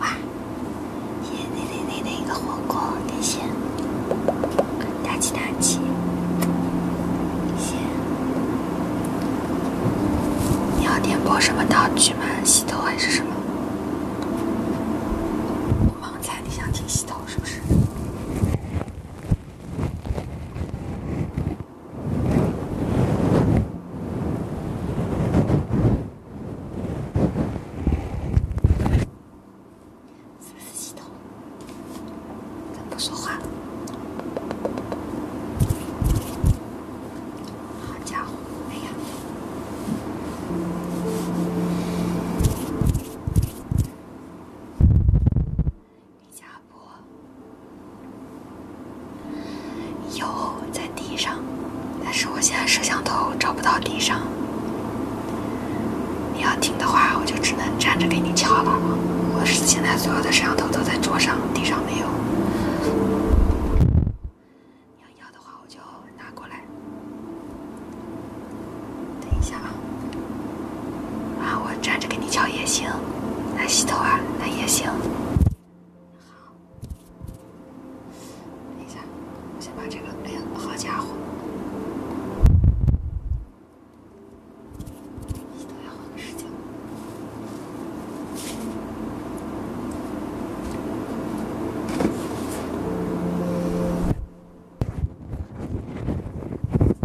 哇！耶！那那那个火锅，太鲜！大气大气！太鲜！你要点播什么道具吗？洗头还是什么？刚才你想听洗头是不是？是不是系统？咱不说话了。好家伙，哎呀！李家不？有在地上，但是我现在摄像头找不到地上。你要听的话，我就只能站着给你敲了。我是现在所有的摄像头都在桌上，地上没有。你要要的话，我就拿过来。等一下啊。啊，我站着给你敲也行，那洗头啊，那也行。好，等一下，我先把这个。哎呀，好家伙！再换个时间。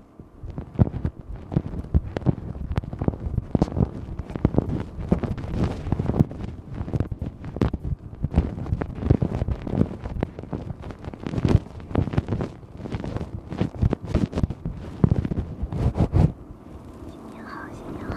新年好，新年好。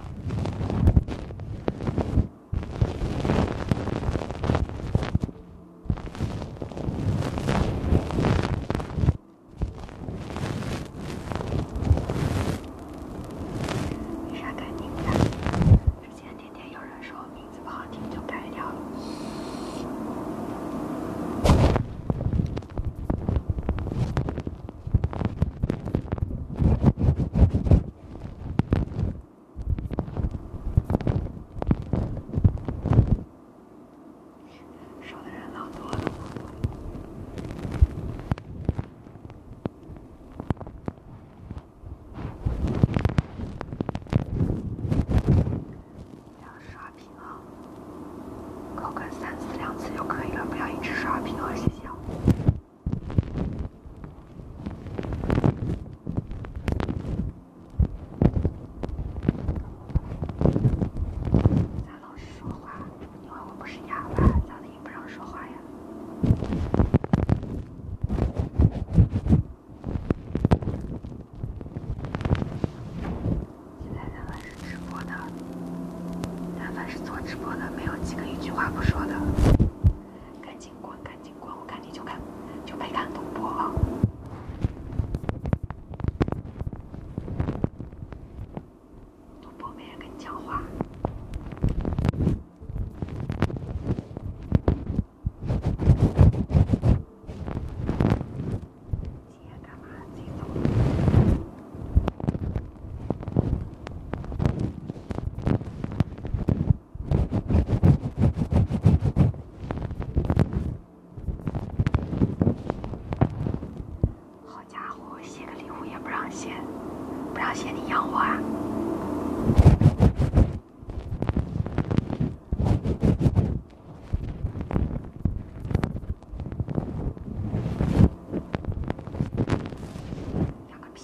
没啥感情的，之前天天有人说名字不好听，就改掉了。刷的人老多了，不要刷屏啊！个三次两次就可以了，不要一直刷屏啊！谢谢咋老是说话？你问我不是哑巴，咋的也不让说话呀？现在咱们是直播的。但凡是做直播的，没有几个一句话不说的。赶紧滚，赶紧滚！我看你就看，就没看懂播。主播没人跟你讲话。你起干嘛？自己走。好家伙，写个礼物也不让写，不让写你养我啊！两个屁。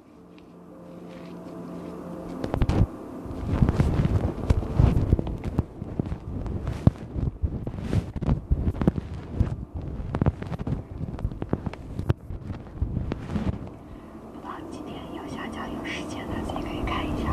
不到几天要下架，有时间的自己可以看一下。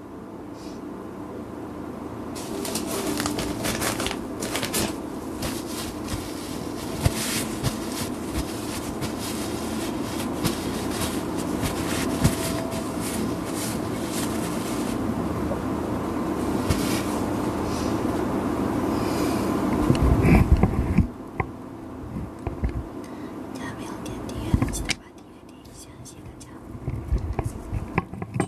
大家没有点订阅的，记得把订阅点一下，谢谢大家。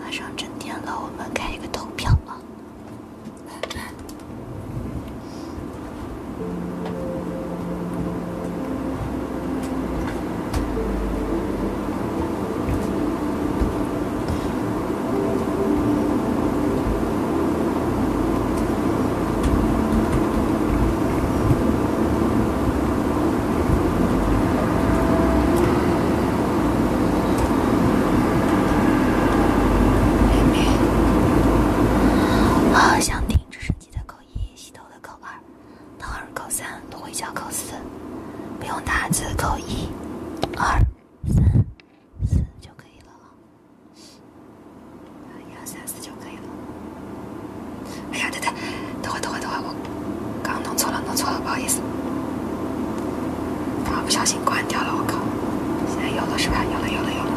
马上正点了，我们开一个投票吧。明好想听直升机的扣一，洗头的扣二，掏耳扣三，回家扣四，不用打字扣一，二。三四就可以了，一二三四就可以了。哎呀，等等，等会等会等会，我刚弄错了弄错了，不好意思，我不小心关掉了，我靠，现在有了是吧？有了有了有了。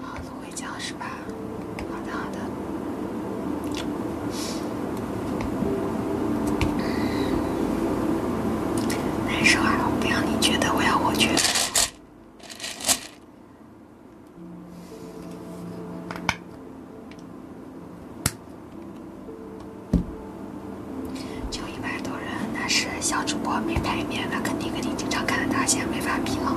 好芦荟胶是吧？棒棒的。难受不要你觉得，我要我觉得。就一百多人，那是小主播没排面，那肯定跟你经常看的大仙没法比了。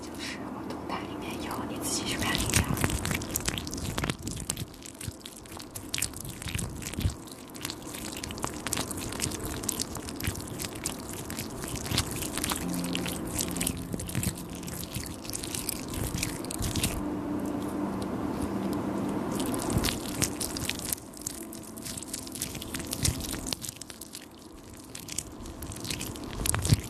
就是我动态里面有，你自己去看一下。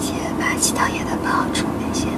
先把其他液态泡出一些。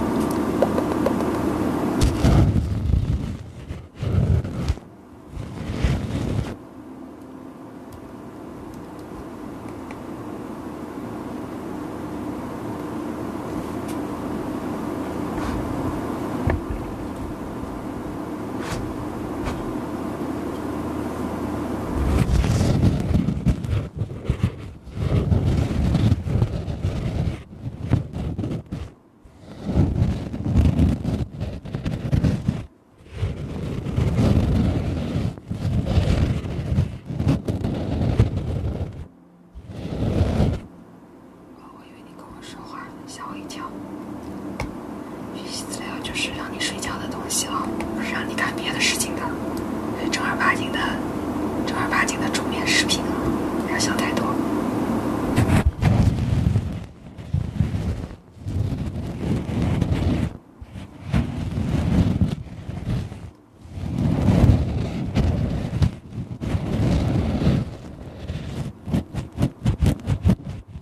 我以为你跟我说话。吓我一跳！学习资料就是让你睡觉的东西了，不是让你干别的事情的，是正儿八经的、正儿八经的助眠视频啊！不要想太多。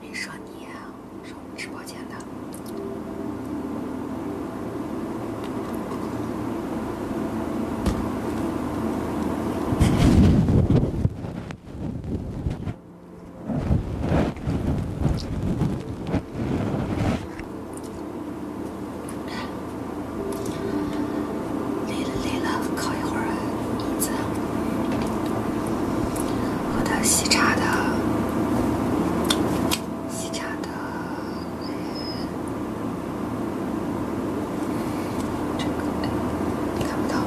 没说你，说我们直播间的。累了累了，靠一会儿椅子。我的喜茶的喜茶的这个，你看不到。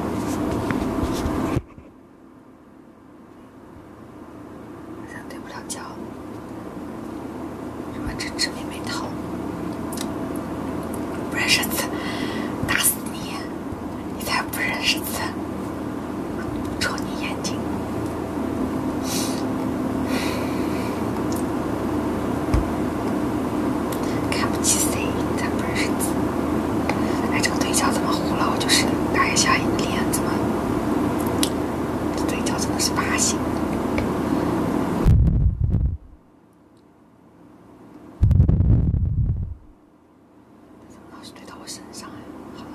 好像对不了焦，什么真知没没透？不认识字，打死你！你才不认识字，戳你眼睛！看不起谁？咋不认识字？哎，这个对焦怎么糊了？我就是，打一下脸怎么？这对焦怎么是八星？怎么老是对到我身上啊？好了。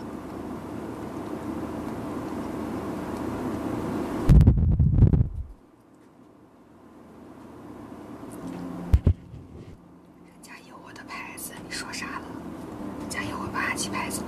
有我的牌子，你说啥了？咋有我霸气牌子呢。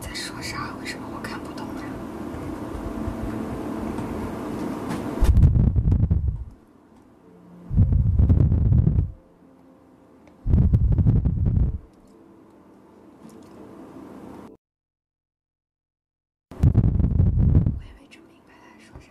在说啥？为什么我看不懂呀？我也没准备。你快来说说。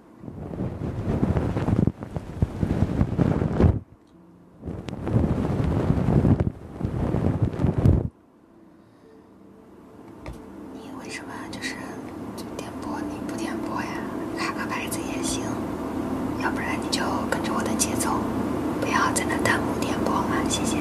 你为什么就是点播？你不点播呀？卡个牌子也行，要不然你就跟着我的节奏，不要在那弹幕点播嘛，谢谢。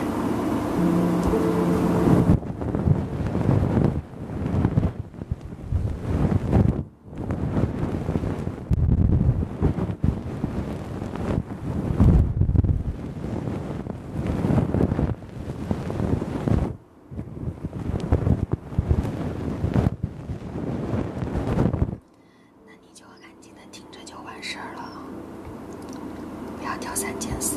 那你就安静的听着就完事儿了，不要挑三拣四。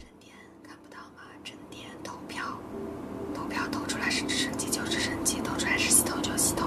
真点看不到吗？真点投票，投票投出来是直升机就直升机，投出来是洗头就洗头。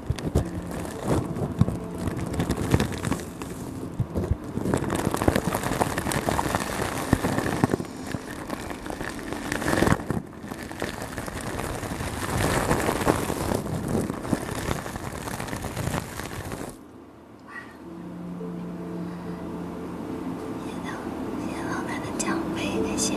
谢谢老，板的奖杯，谢谢。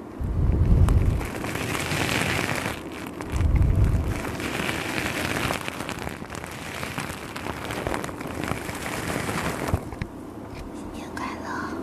新年快乐。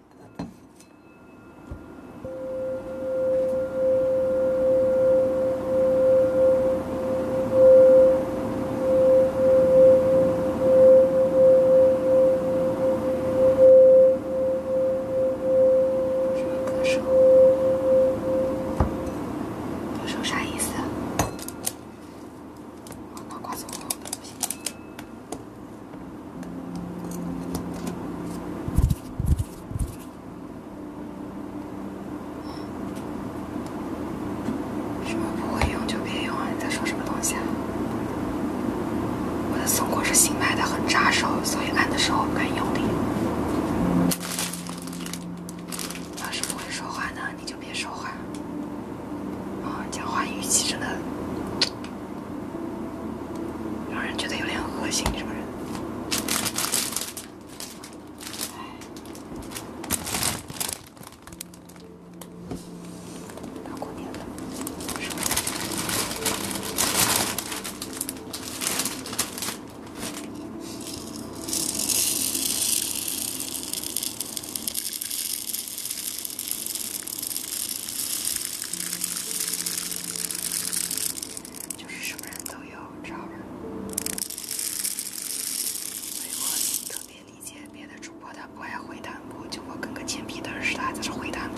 什么歌手？歌手啥意思？什么不会用就别用啊！你在说什么东西啊？我的松果是新买的，很扎手，所以按的时候不敢用力。要是不会说话呢，你就别说话。啊，讲话语气真的让人觉得有点恶心，是不是？哎，大过年的，就是什么人都有，知道吧？所以我特别理解别的主播他不爱回弹幕，就我跟个欠皮的人似的在这回弹幕。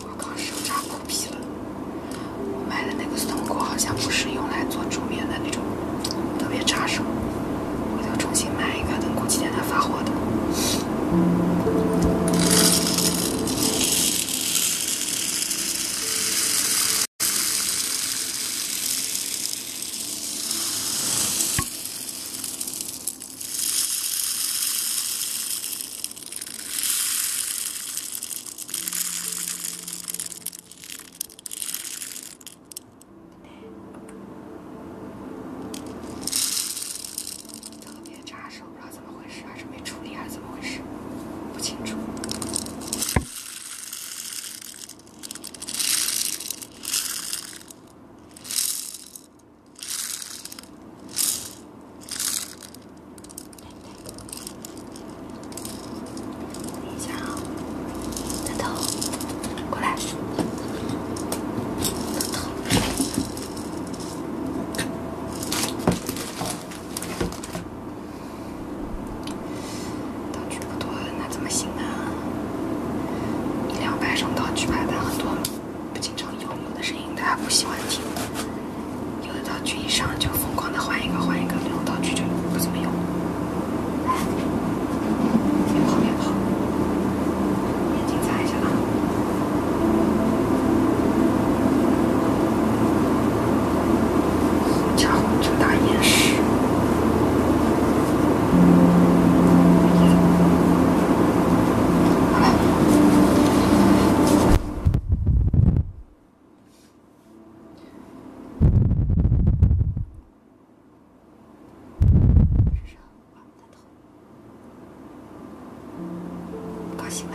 我靠，手扎破皮了！我买的那个松果好像不是用来做煮面的那种，特别扎手。回头重新买一个，等过几天他发货的。特别扎手，不知道怎么回事，还是没处理还是怎么回事，不清楚。对对。等一下啊，大头。过来。道具不多，那怎么行呢？一两百种道具拍的很多，不经常用，有的声音大家不喜欢听，有的道具一上就疯狂的换一个换一个，这种道具就不怎么用。别跑别跑！眼睛摘下来！哎，家伙这么大眼屎！我们的不高兴吧？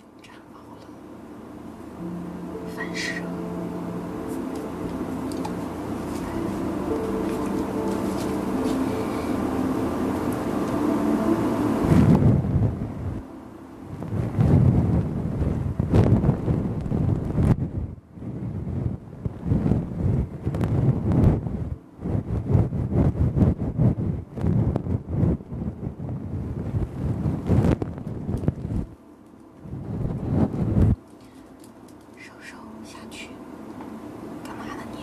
又炸毛了，反射。收收下去，干嘛呢你？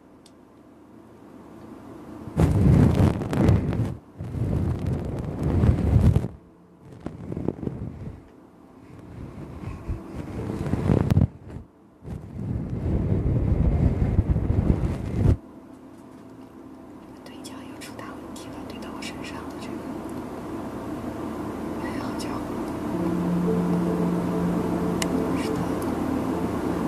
这个对焦又出大问题了，怼到我身上的这个，哎，好家伙！是的。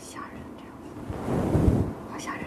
吓人，这样子，好吓人。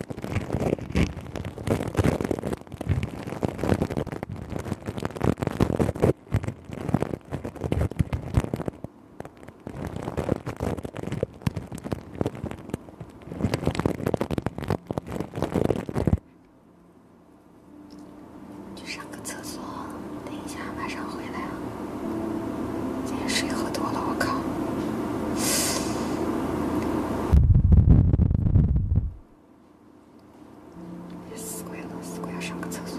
去上个厕所，等一下马上回来啊。今天水喝多了，我靠！死鬼了，死鬼要上个厕所。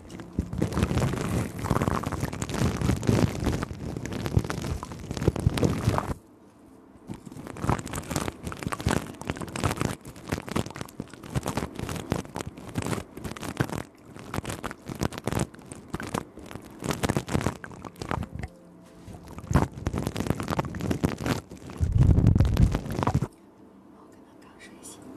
睡醒。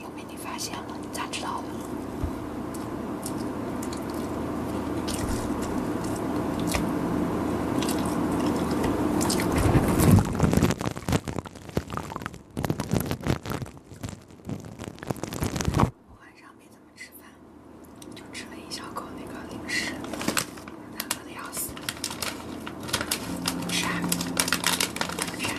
又被你发现了，你咋知道的？我晚上没怎么吃饭，就吃了一小口那个零食，我饿的要死，吃啊，吃啊。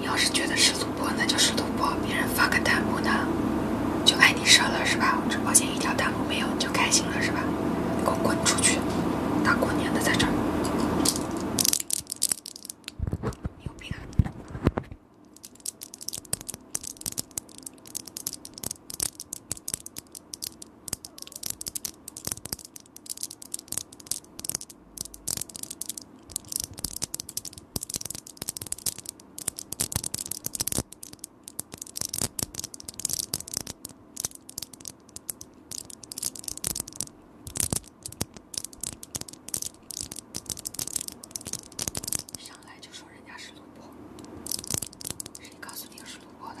你要是觉得是赌博，那就是赌博。别人发个弹幕的，就爱。你射了是吧？我直保间一条弹幕没有你就开心了是吧？你给我滚出去！大过年的在这儿，上来就说人家是主播，谁告诉你我是主播的？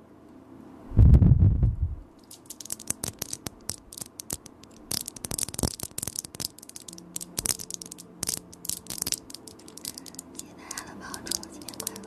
谢谢大家的帮助，新年快乐！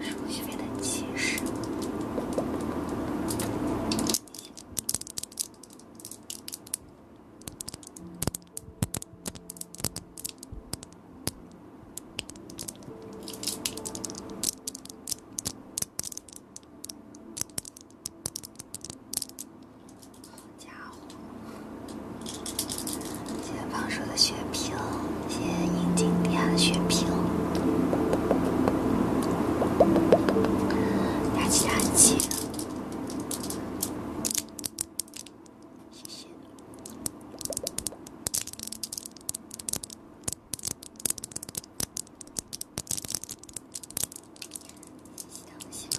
解放书写的气势。好家伙！谢谢胖叔的血瓶，谢谢银金店的血瓶，打气打气，谢谢，希望希望。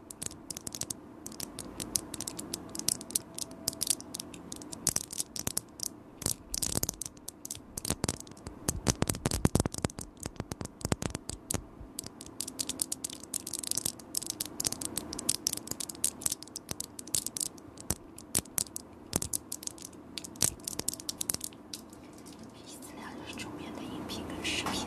这个资料就是周边的音频跟视频。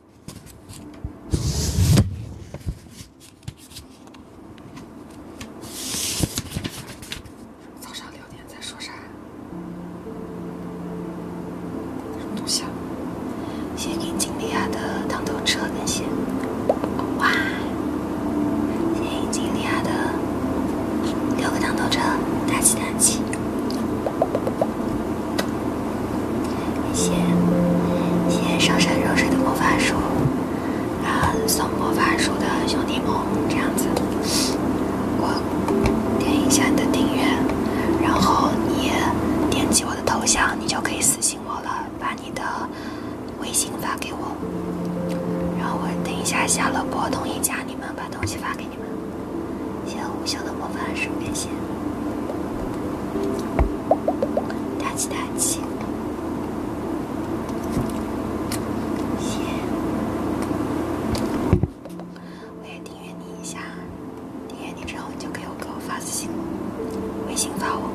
早上六点在说什么东西？谢谢金莉亚的糖豆车更新。哇！谢谢金莉亚的六个糖豆车，大吉大吉。谢谢谢谢上善若水的魔法树，啊送魔法书的兄弟们，这样子，我点一下你的订阅，然后你点击我的头像，你就可以私信我了，把你的微信发给我，然后我等一下下了播，同意加你们，把东西发给你们。小无效的魔法十五元大气大气，我也订阅你一下。订阅你之后，你就可以给我发私信，微信发我，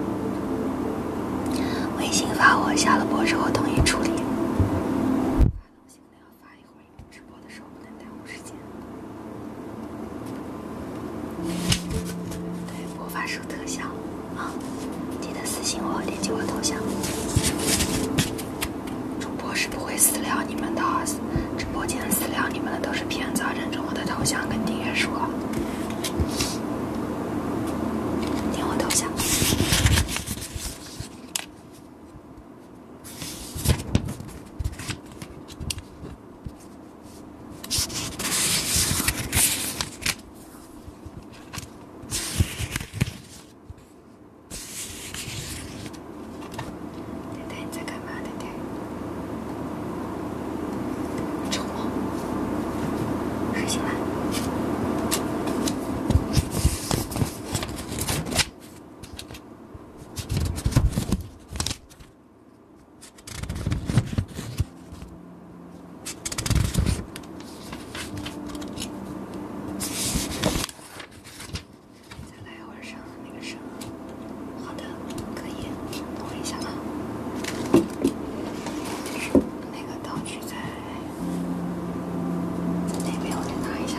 微信发我，下了播之后统一处理。发不行，得要发一会儿，直播的时候。不能耽误时间。对，我发出特效啊！记得私信我，点击我头像。主播是不会私聊你们的，直播间私聊你们的都是骗子，认准我的头像跟订阅数。点我头像。爹爹，你在干嘛，爹爹？做梦？睡醒了？再来一会儿上那个声，好的，可以，等我一下啊。就是那个道具在那边，我去拿一下。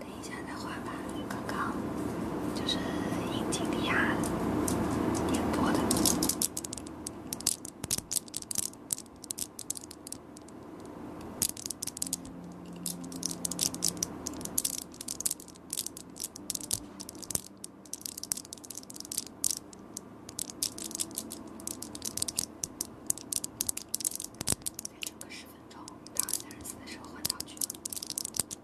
等一下再画吧，刚刚就是尹经理啊演播的。再整个十分钟，到二十四的时候换道具。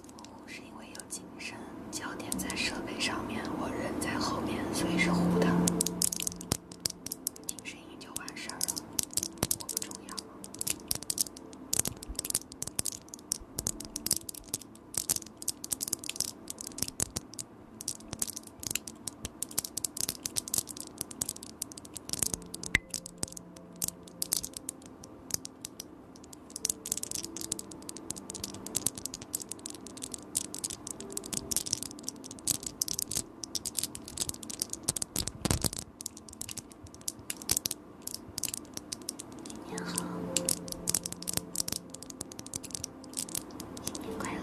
模糊是因为有精神，焦点在设备上面，我人在后面，所以是糊的。听声音就完事儿了，我不重要。新年好，新年快乐。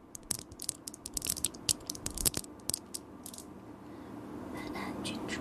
安安，郡主，睡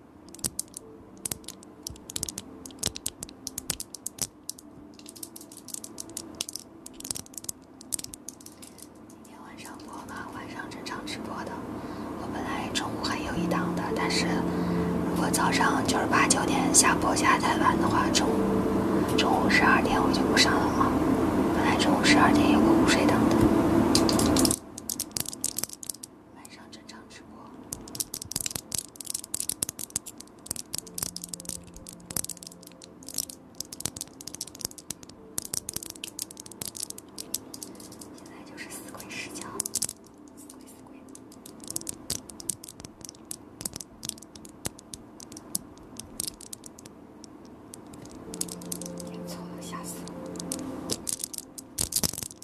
每天晚上播吧，晚上正常直播的。我本来中午还有一档的，但是如果早上九十八九点下播下太晚的话，中午中午十二点我就不上了啊。本来中午十二点有个午睡档的。晚上正常直播。现在就是死鬼视角，死鬼死鬼。错了，吓死了。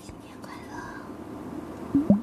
新年快乐。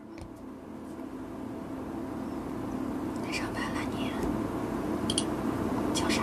来上班了你，叫啥？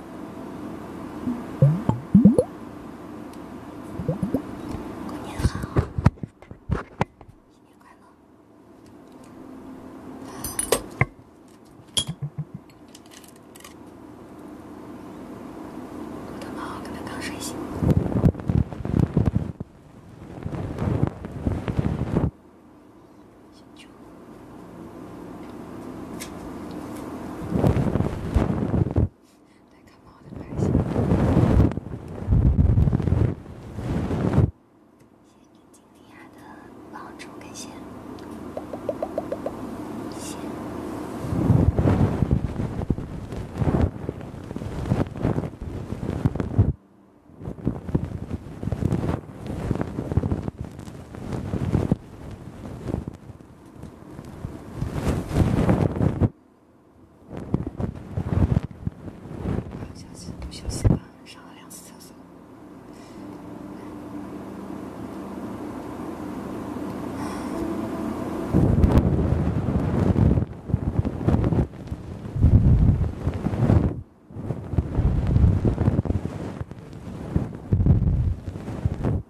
过年好，新年快乐。睡醒。醒酒。戴卡宝的牌型。谢谢金利亚的帮助跟线。休息，多休息上两次厕所。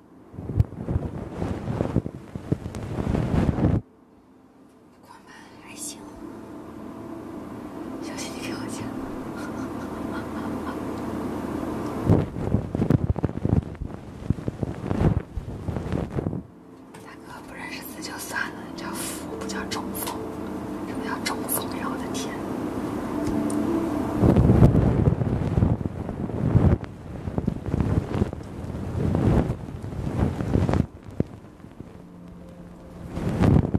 不快吗？还行。小心你给我家。大哥不认识字就算了，叫福不叫中风，什么叫中总呀？我的天！身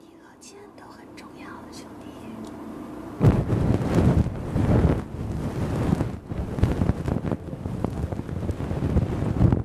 体和钱都很重要，兄弟。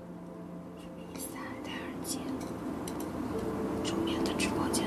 什么意思啊？戴耳机？正面的直播间。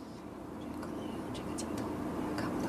这可能也有，这个镜头我也看不到。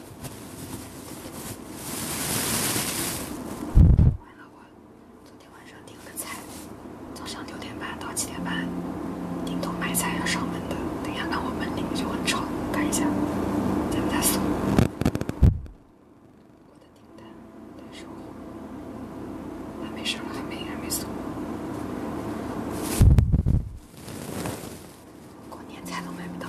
完了，我昨天晚上订了个菜，早上六点半到七点半，很多买菜要上门的，等下那我门里面就很吵，看一下，咱们在锁。我的订单，待收货，那没事了，还没人，没锁。过年菜都买不到，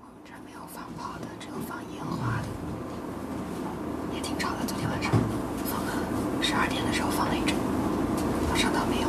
我们这儿没有放炮的，只有放烟花的，也挺吵的。昨天晚上放了，十二点的时候放了一阵，我上当没有。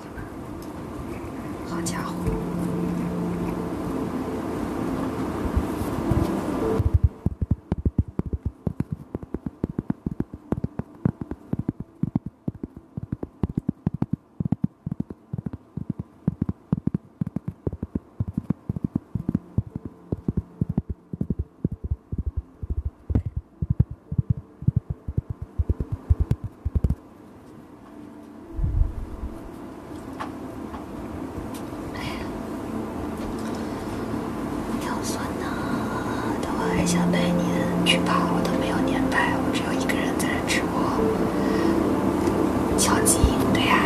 好家伙哎呀，要算呐，但我还想拜年，去吧，我都没有年拜，我只有一个人在这直播，消极。对呀。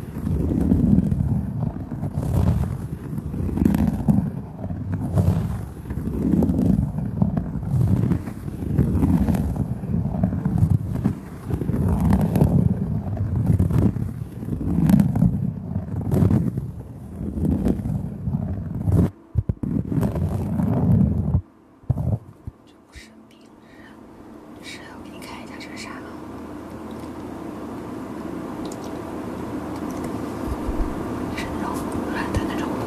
这不是病是。我给你看一下这是啥，是柔软的那种布。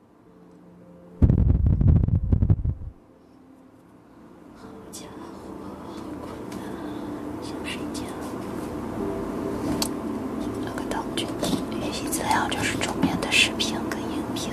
好家伙，好困难！想睡觉。做个道具，学习资料就是桌面的视频跟音频。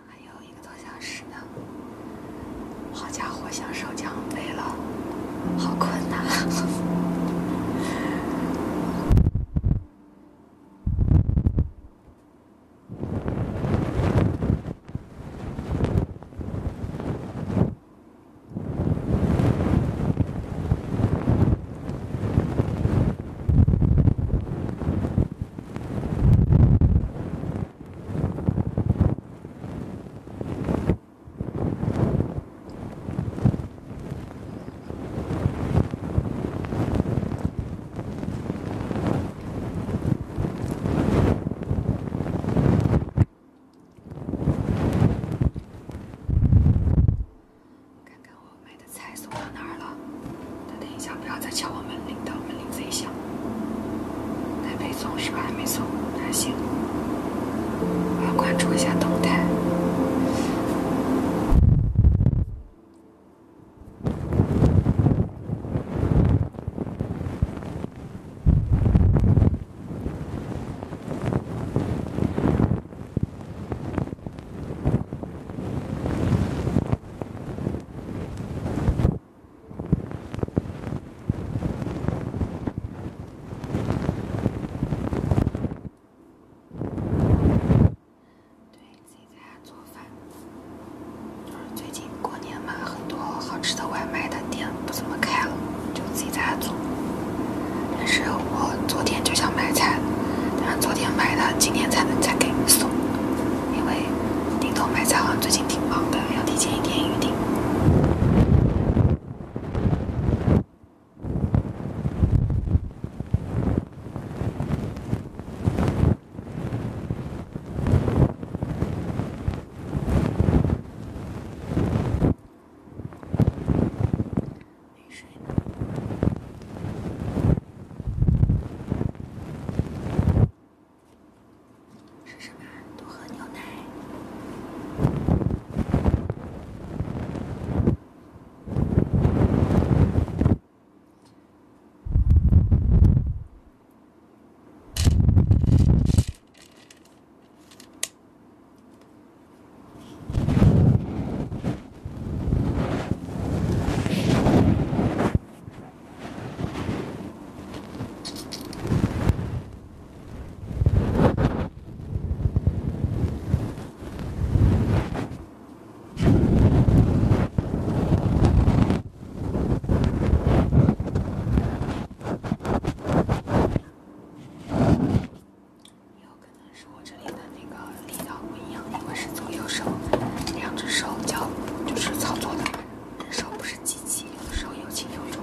还有一个多小时呢，好家伙，享受奖杯了，好困呐。看看我买的菜送到哪儿了。等一下，不要再敲我门门。到门铃自响，来配送是吧？没错，耐心。我要关注一下动态。对自己在家做饭，就是最近过年嘛，很多好吃的外卖的店不怎么开了，就自己在家做。但是我昨天就想买菜，但是昨天买的今天才能再给你送，因为。顶头买菜行最近挺忙的，要提前一天预订。吃什么？多喝牛奶。也有可能是我这里的那个力道不一样，因为是左右手两只手交就是操作的。人手不是机器，有时候有轻有重。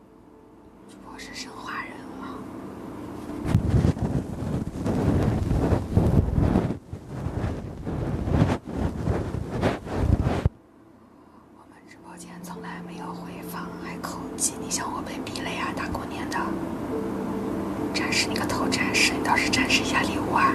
主播是生化人吗？我们直播间从来没有回放，还口技，你想我被逼了呀？大过年的，展示你个头，展示，你倒是展示一下礼物啊！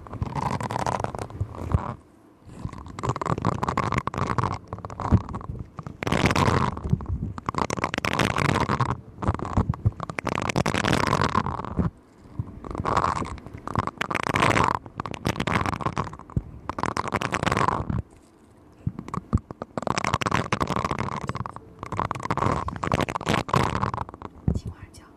请花椒。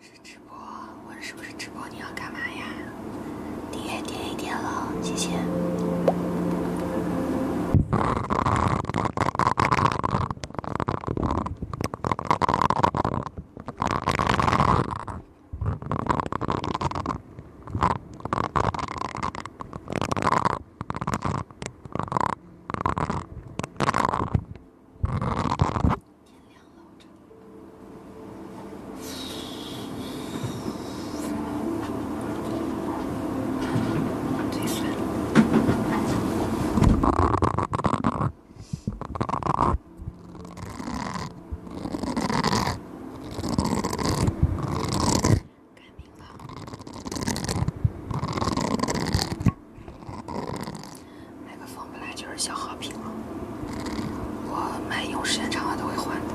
是直播，我是不是直播？你要干嘛呀？订阅点一点了，谢谢。天亮了，我真。最酸了。该冰了。那个风本来就是消耗品嘛，我们用时间长了都会换的。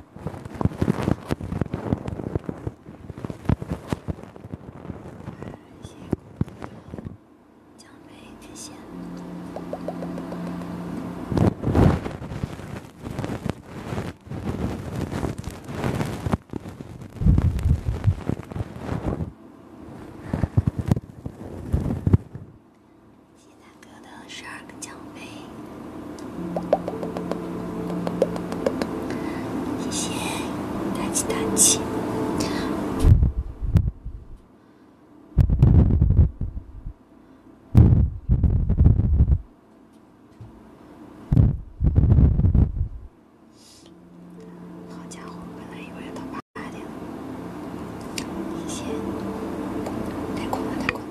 感谢大哥奖杯的羡慕。感谢大哥的十二个奖杯。谢谢，大气大气。好家伙，本来以为要到八点。谢谢，太困了，太困了。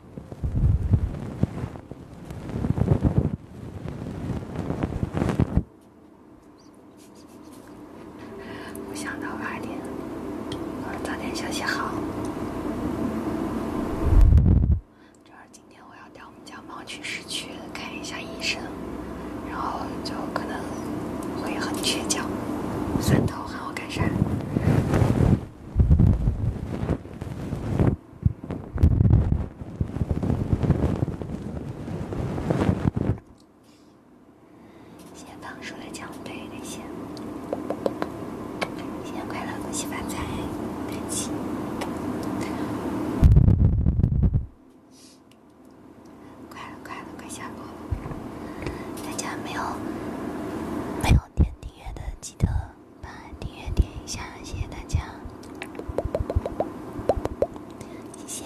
我想到八点，早点休息好。主要今天我要带我们家猫去市区看一下医生，然后就可能会很缺觉，顺道好好改善。先放出来奖杯那些。新年快乐，恭喜发财，恭喜！快了，快了，快下播大家没有没有点订阅的记得。把订阅点一下，谢谢大家，谢谢，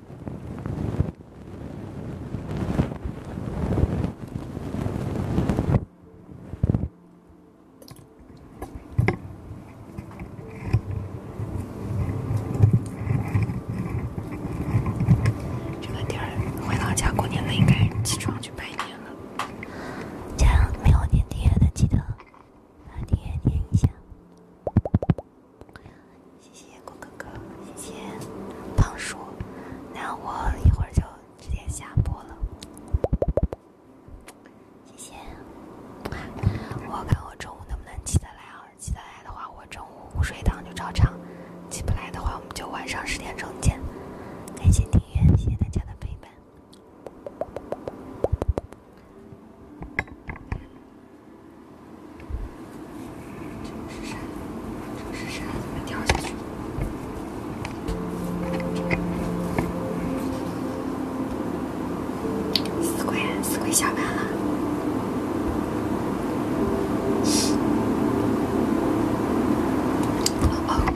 这天儿回老家过年了，应该起床去拜年了。家没有粘贴的，记得把贴贴一下。谢谢光哥哥，谢谢胖叔，那我一会儿就直接下播了。谢谢，我看我中午能不能起得来，要起得来的话，我中午午睡档就照常；起不来的话，我们就晚上十点钟见。感谢订阅，谢谢大家的陪伴。这是啥？这是啥？掉下去了！死鬼，死鬼下班了。哦哦。